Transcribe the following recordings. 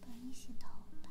帮你洗头吧。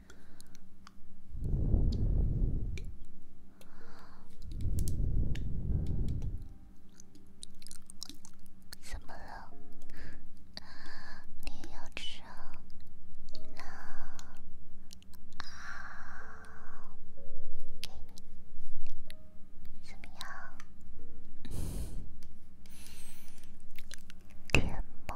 怎么了？你要吃？那啊，给你，怎么样？甜吗？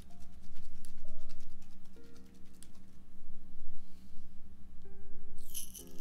帮你洗头了。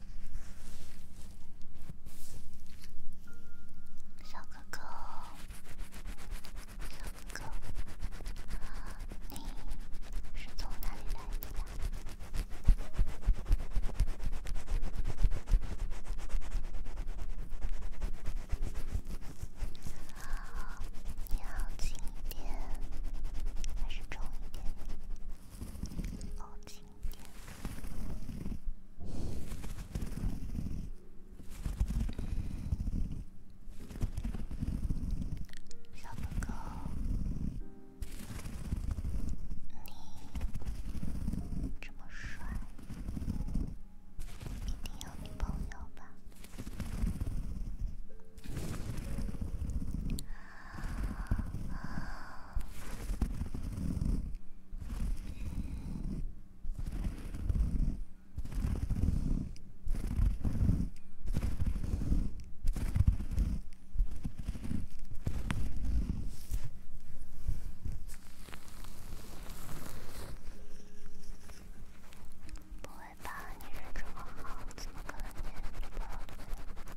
小哥哥，小哥哥，你是从哪里来的？好，你要轻一点，还是重一点？老公，你这么帅，一定有女朋友吧？不会吧，你人这么好，怎么感觉不好？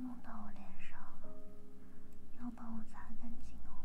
弄到我脸上了，要帮我擦干净哦。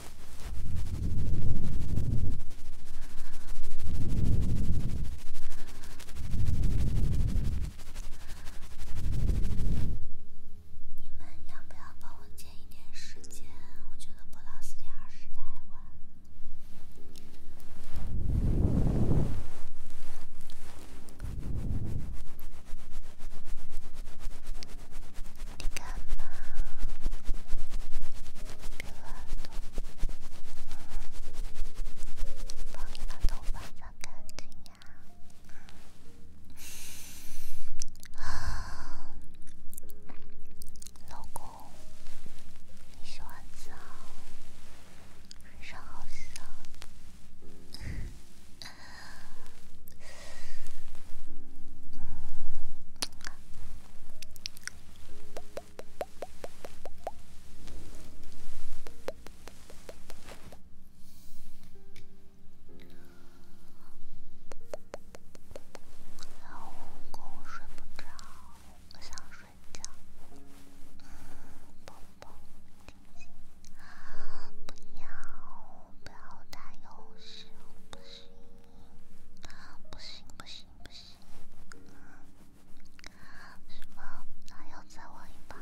你们要不要帮我减一点时间？我觉得播到四点二十太晚。你干嘛？别乱动啊！帮你把头发擦干净呀。老公，你洗完澡，身上好香。老公，我睡不着，我想睡觉。嗯，宝宝，不要。不要打游戏，不行，不行，不行，不行，什么？那要再玩一把？不。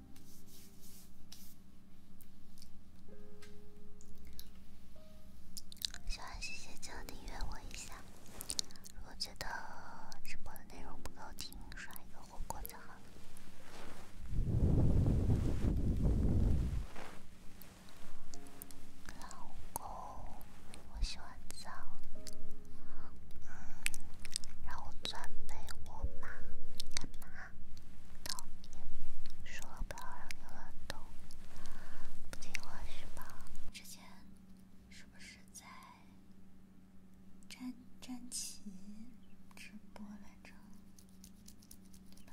喜欢谢。姐就订阅我一下，如果觉得直播的内容不够听，刷一个火锅就好。老公，我洗完澡。嗯，让我钻被窝吗？干嘛？都别说了，不要让你乱动，不听话是吗？之前是不是在詹詹奇直播来着？对吧？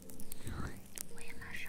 仙姑山。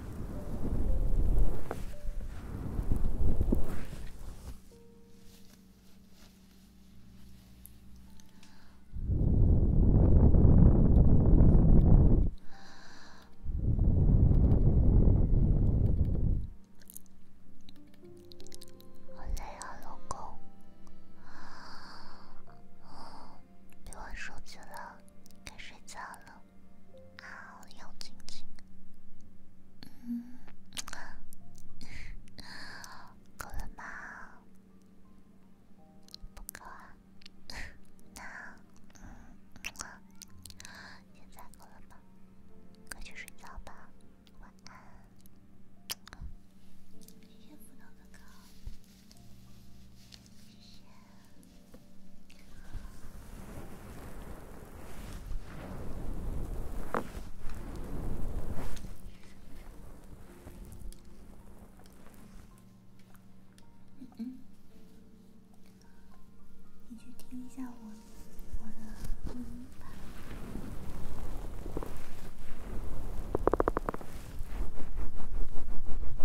好累啊，老公，别玩手机了，该睡觉了。好，又静静。嗯，够了吗？不够啊。那，嗯，现在够了吗？可以去睡觉吧。晚安。明天辅导哥哥。嗯嗯，你去听一下我我的录音吧。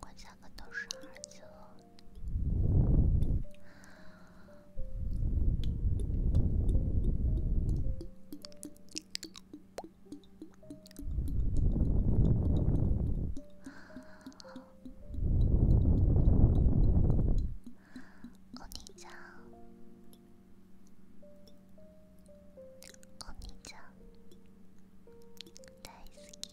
我三个都是儿子。哦。兄ちゃん、お兄大好き。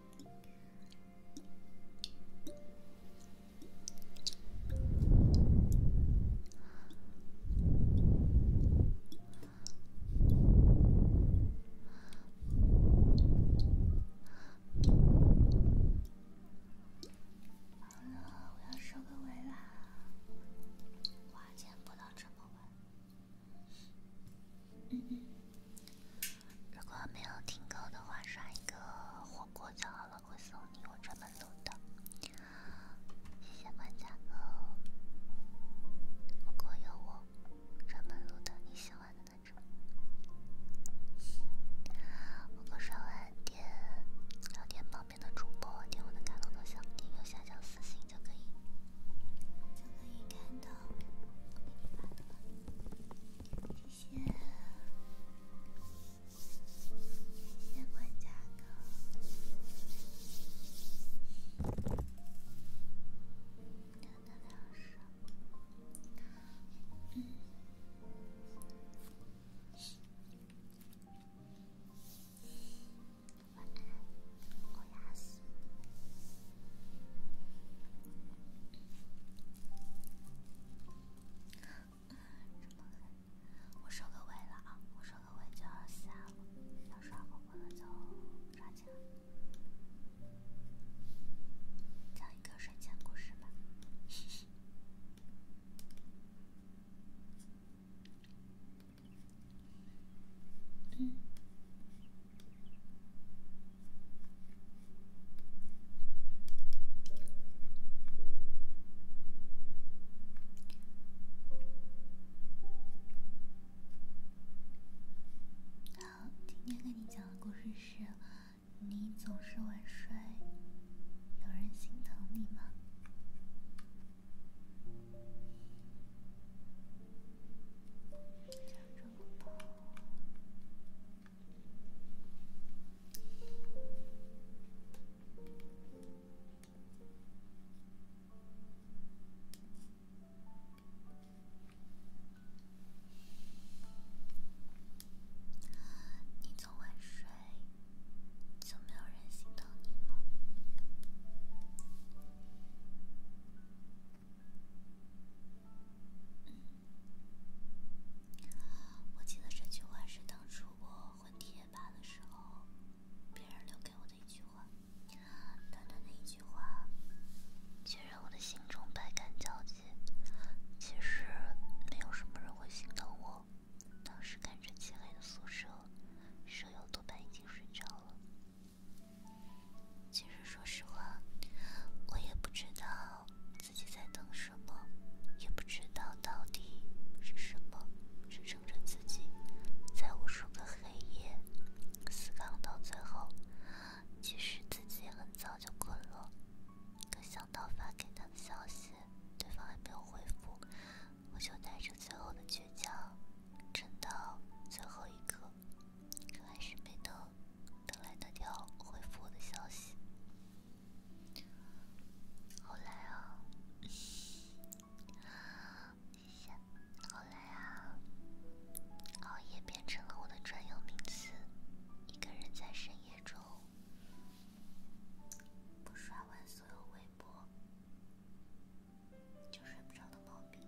好了，我要收个尾啦。花钱不到这么晚。嗯嗯，如果没有听够的话，刷一个火锅就好了，会送你我专门录的。谢谢管家哥，火锅有我专门录的你喜欢的那支。火锅刷完点，聊天旁边的主播点我的卡通头像，点右下角私信就可以，就可以看到。谢谢，谢我收个尾了啊！我收个尾就要下了，要刷火锅的就抓紧了。讲一个睡前故事吧。嗯。好，今天跟你讲的故事是：你总是晚睡，有人心疼你吗？你总晚睡，就没有人心疼你吗？嗯，我记得这句话是当初我混贴吧的时候，别人留给我的一句话。短短的一句话，却让我的心中百感交集。其实没有什么人会心疼我。当时看着漆黑的宿舍，舍友多半已经睡着了。其实，说实话，我也不知道自己在等什么，也不知道到底是什么支撑着自己在无数个黑夜思考到最后。其实自己也很早就困了，可想到发给他的消息，对方还没有回复，我就带着最后的倔强，撑到最后一刻。可还是没等，等来那条回复我的消息。后来啊，谢谢。后来啊，熬夜变成了我的专有名词。一个人在深夜中不刷完所有微博就睡不着的毛病。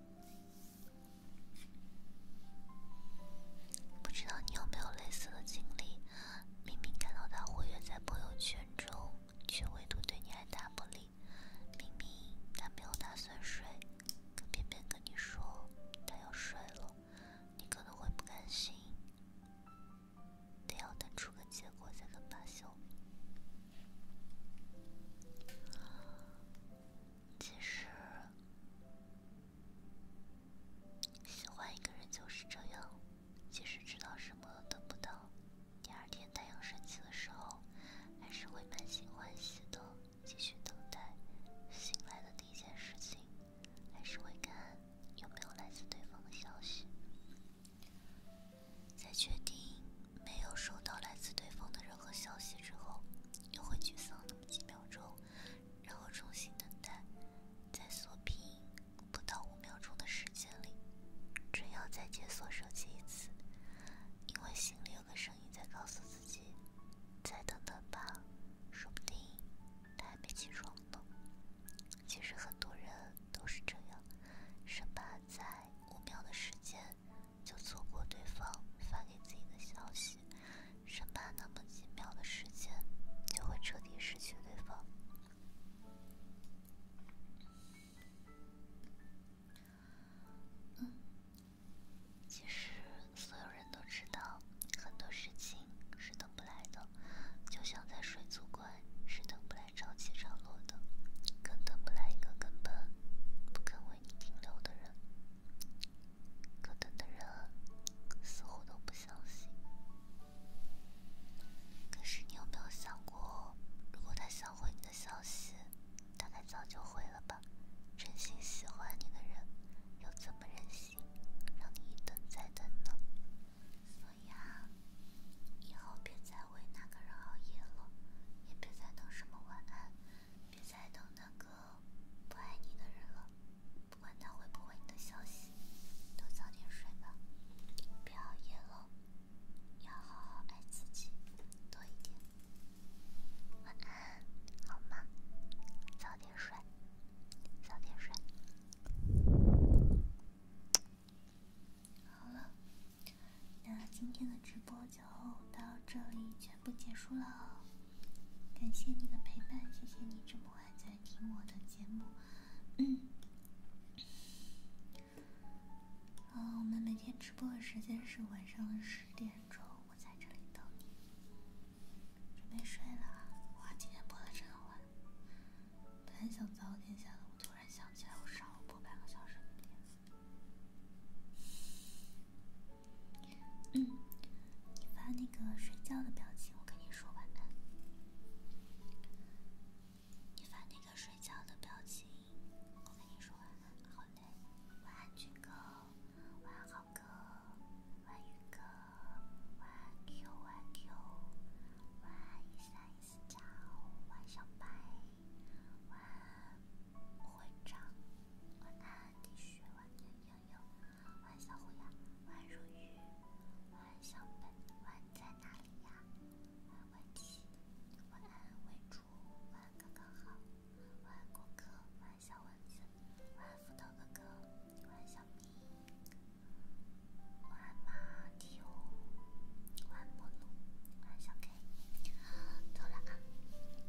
不知道你有没有类似的经历？明明看到他活跃在朋友圈中，却唯独对你爱答不理。明明他没有打算睡，可偏偏跟你说他要睡了，你可能会不甘心，得要等出个结果才能罢休。其实，喜欢一个人就是这样。即使知道什么得不到，第二天太阳升起的时候，还是会满心欢喜的继续等待。醒来的第一件事情，还是会看有没有来自对方的消息。在确定没有收到来自对方的任何消息之后。又会沮丧那么几秒钟，然后重新等待，在锁屏不到五秒钟的时间里，只要再解锁手机一次，因为心里有个声音在告诉自己，再等等吧，说不定他还没起床呢。其实很多人都是这样，生怕在五秒的时间。就错过对方发给自己的消息，生怕那么几秒的时间就会彻底失去对方。嗯，其实所有人都知道，很多事情是等不来的，就像在水族馆是等不来潮起潮落的，更等不来一个根本不肯为你停留的人。可等的人似乎都不相信。可是你有没有想过，如果他想回你的消息，大概早就回了吧？真心喜欢你的人又怎么忍心让你一等再等呢？所以啊，以后别再为那个人熬夜了，也别再等什么晚安。别再等那个不爱你的人了，不管他回不回你的消息，都早点睡吧，别熬夜了，要好好爱自己，多一点，晚安，好吗？早点睡，早点睡，好了。那今天的直播就到这里，全部结束了。感谢你的陪伴，谢谢你这么晚在听我的节目。嗯，啊，我们每天直播的时间是晚上的十点钟，我在这里等你。准备睡了啊！哇，今天播的真晚。本来想早点下，的，我突然想起来，我上午播半个小时的。你发那个睡觉的表情，我跟你说晚安。你发那个睡觉的表情，我跟你说晚安。好嘞，晚安君哥，晚安浩哥，晚安宇哥，晚安 Q 晚 Q，晚安一三一四，早，晚小白，晚安。会长，晚安，T 恤，晚安，悠悠，晚安，小虎牙，晚安，如玉，晚安，小北，晚安，在哪里呀？晚安，七，晚安，为主，晚安，刚刚好，晚安，顾客，晚安，小丸子，晚安，斧头哥哥，晚安，小咪，晚安，马蒂欧，晚安，莫怒，晚安，小 K。走了啊，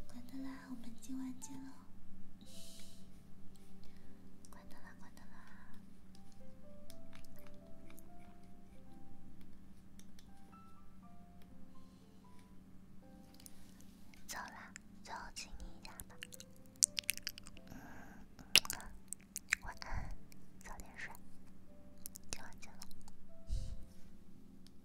关灯啦，我们今晚见喽。关灯啦，关灯啦。走啦，最后亲你一下吧。嗯，晚安，早点睡。今晚见喽。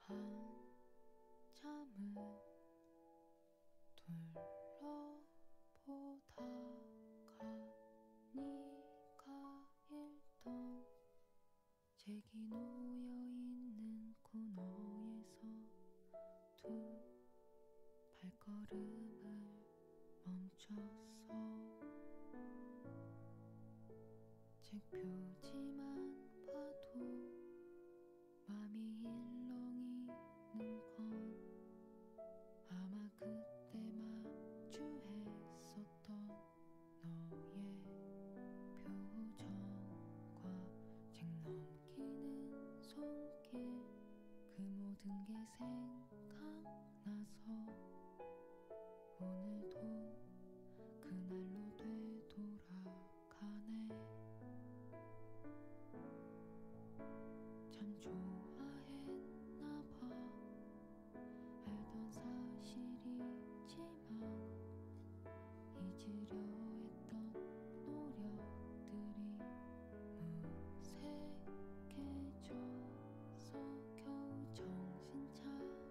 한참을 둘러보다가 네가 읽던 책이 놓여있는 코너에서 두 발걸음을 멈췄어 책 표지만 봐도 맘이 일렁이는 건 아마 그때 마주했었던 너의 표정과 책 넘기는 손길 그 모든 게 생각나서 오늘도 그날로 되돌아가네 참 좋아했나봐 알던 사실이지만 잊으려 했던 노력들이 무색해져서 겨우 정신 차리고